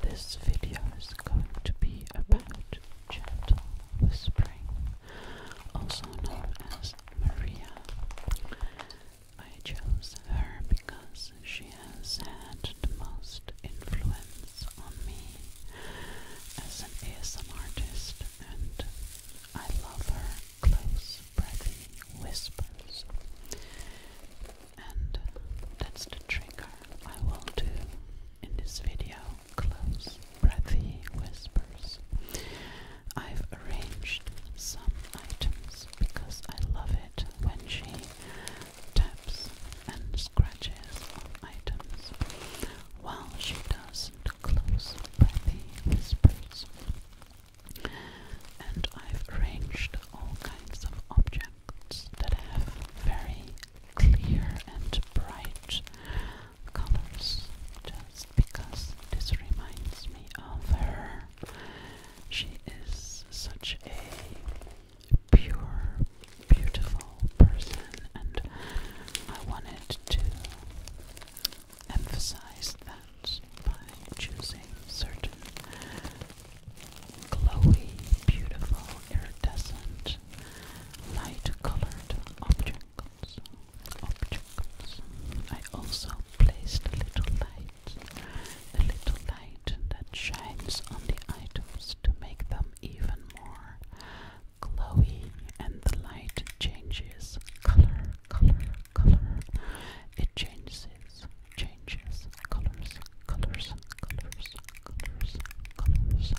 This video is going to be about gentle whispering, also known as Maria. I chose her because she has had the most influence on me as an ASMR artist, and I love her close, breathy whispers and that's the trigger I will do in this video close breathy whispers. I've arranged some items because I love it when she taps and scratches on items while she does the close breathy whispers. And I've arranged all kinds of objects that have very clear and bright colors just because this reminds me of her. She is such a pure, beautiful person, and I wanted to emphasize that by choosing certain glowy, beautiful, iridescent, light-colored objects. Objects. I also placed a little light, a little light that shines on the items to make them even more glowy, and the light changes color, color, color. It changes changes colors, colors, colors, colors, colors,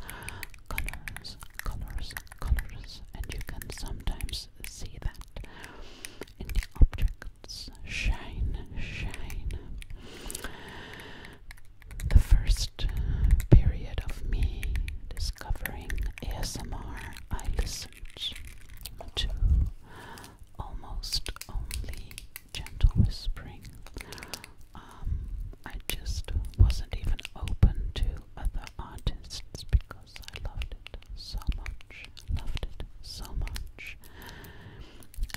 colors, colors, colors, and you can sometimes see that in the objects. Shine, shine. The first uh, period of me discovering ASMR, I listened to almost only gentle whispering. Um, I just wasn't even open to other artists because I loved it so much, loved it so much.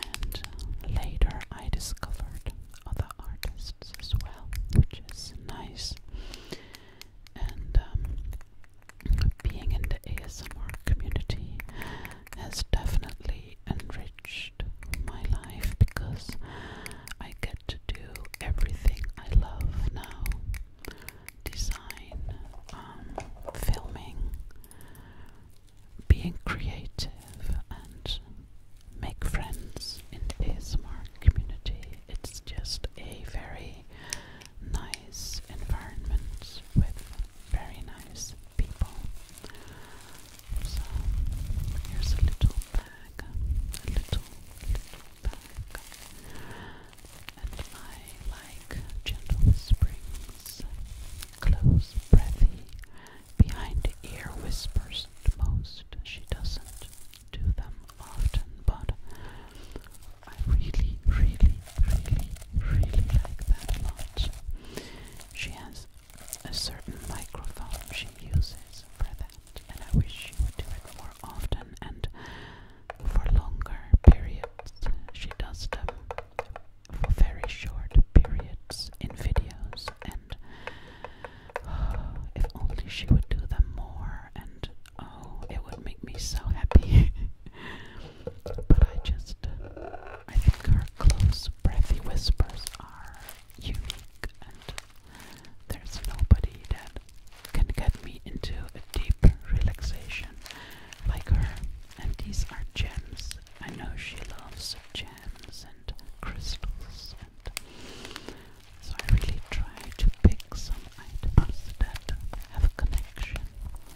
And uh, later I discovered other artists as well, which is nice. And um, being in the ASMR community has definitely enriched my life because I get to do everything I love now design, um, filming, being creative, and make friends in the ASMR community. It's just a very nice environment with very nice people. So here's little bag, a little, little bag. And I like gentle springs, close, breathy, behind the ear whispers most. She doesn't do them often, but I really, really, really, really like that a She has a certain microphone she uses for that, and I wish she would do it more often and for longer periods. She does them for very short periods in videos, and if only she would do them more and Oh, it would make me so happy. but I just, I think her close, breathy whispers are unique, and there's nobody that can get me into a deep relaxation like her. And these are gems. I know she loves gems and crystals, and so I really try to pick some items that have connection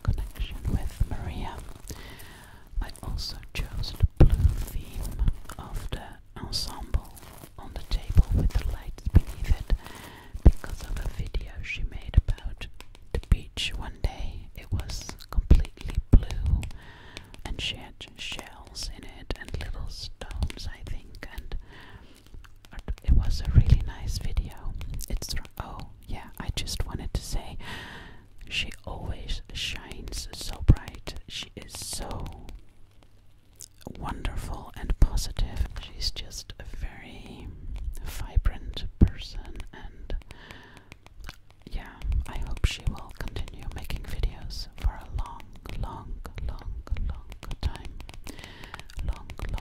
connection with Maria. I also chose the blue theme of the ensemble on the table with the lights beneath it because of a video she made about the beach one day. It was completely blue and she had shells in it and little stones, I think, and it was a really nice video. It's oh yeah, I just wanted to say she always shines so bright. She is so wonderful and positive. She's just a very vibrant person and yeah, I hope she will continue making videos for a long, long, long, long time. Long, long